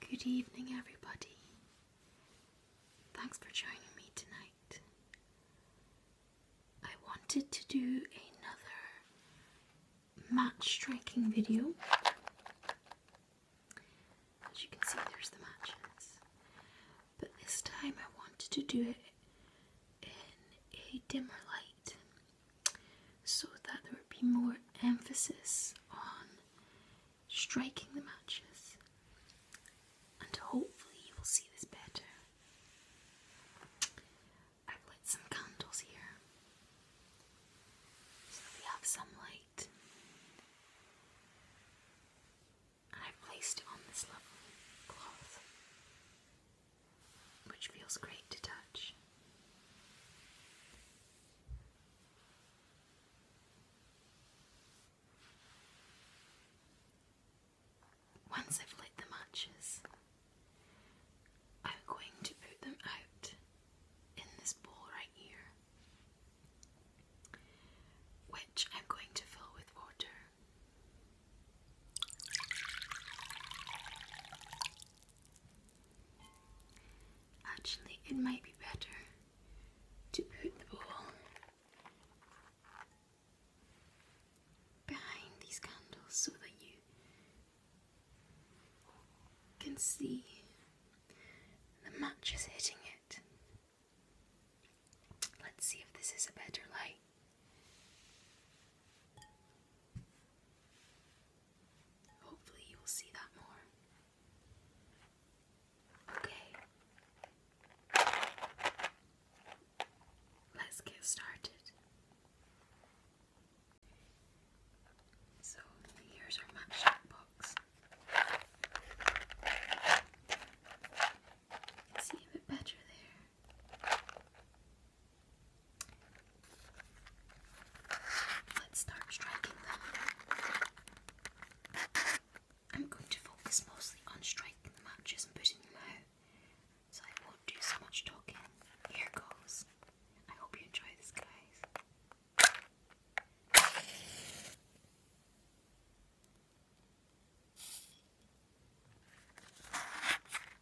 Good evening, everybody. Thanks for joining me tonight. I wanted to do another match striking video. As you can see, there's the matches. But this time I wanted to do it in a dimmer light so that there would be more emphasis on striking the matches, and hopefully, you will see this better. I've lit some candles here so that we have some light, I've placed it on this lovely cloth, which feels great to touch. Once I've lit the matches, I'm going to put them out in this bowl right here, which I'm going to fill with water. Actually, it might be better to put the bowl behind these candles so that you can see the match is hitting it. Let's see if this is a better light. Hopefully, you will see that more. Okay. Let's get started. So, here's our matchbox box. It's better there. Let's start striking them. I'm going to focus mostly on striking the matches and putting them out, so I won't do so much talking. Here goes. I hope you enjoy this, guys.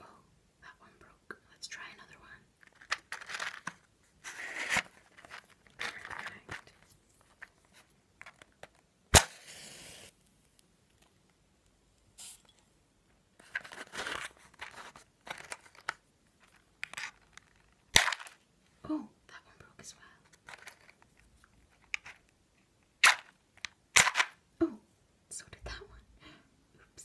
Oh, that one broke. Let's try another one. Oh, that one broke as well. Oh, so did that one. Oops.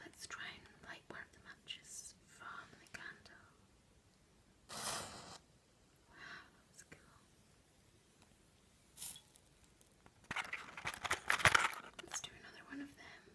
Let's try and light one of the matches from the candle. Wow, that was cool. Let's do another one of them.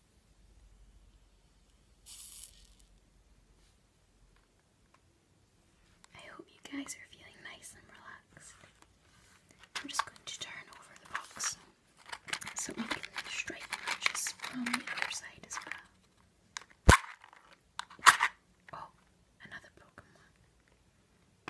I hope you guys are feeling nice and relaxed. I'm just going to turn over the box so we can straighten matches from the other side as well. Oh, another broken one.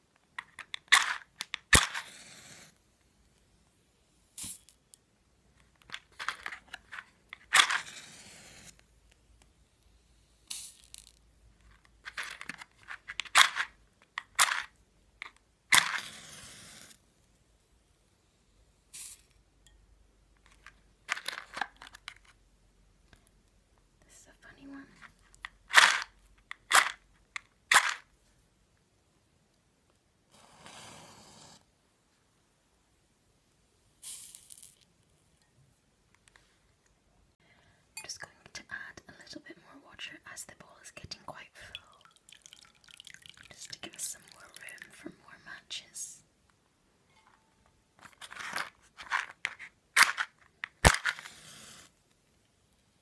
This is a funny one. I'm just going to add a little bit more water as the bowl is getting quite full, just to give us some more room for more matches.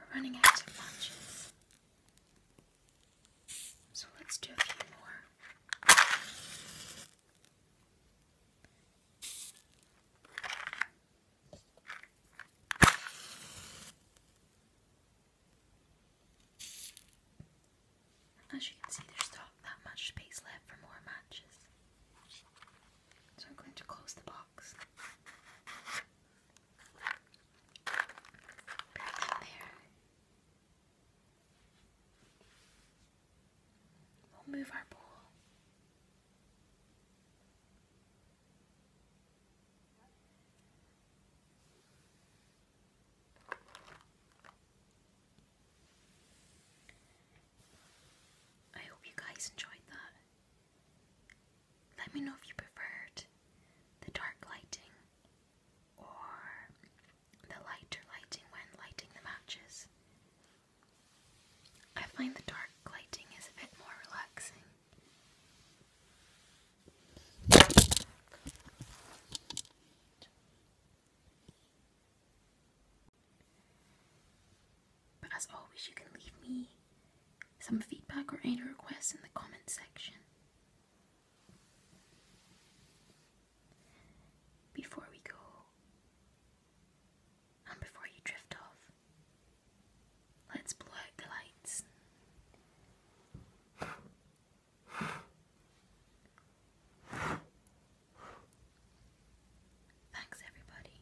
We're running out of matches. So let's do a few more. As you can see, there's not that much space left for more matches. So I'm going to close the box. Back in there. We'll move our bowl. I hope you guys enjoyed that let me know if you preferred the dark lighting or the lighter lighting when lighting the matches. I find the dark lighting is a bit more relaxing. But as always, you can leave me some feedback or any requests in the comment section. Before we go, and before you drift off, let's blow out the lights. Thanks, everybody.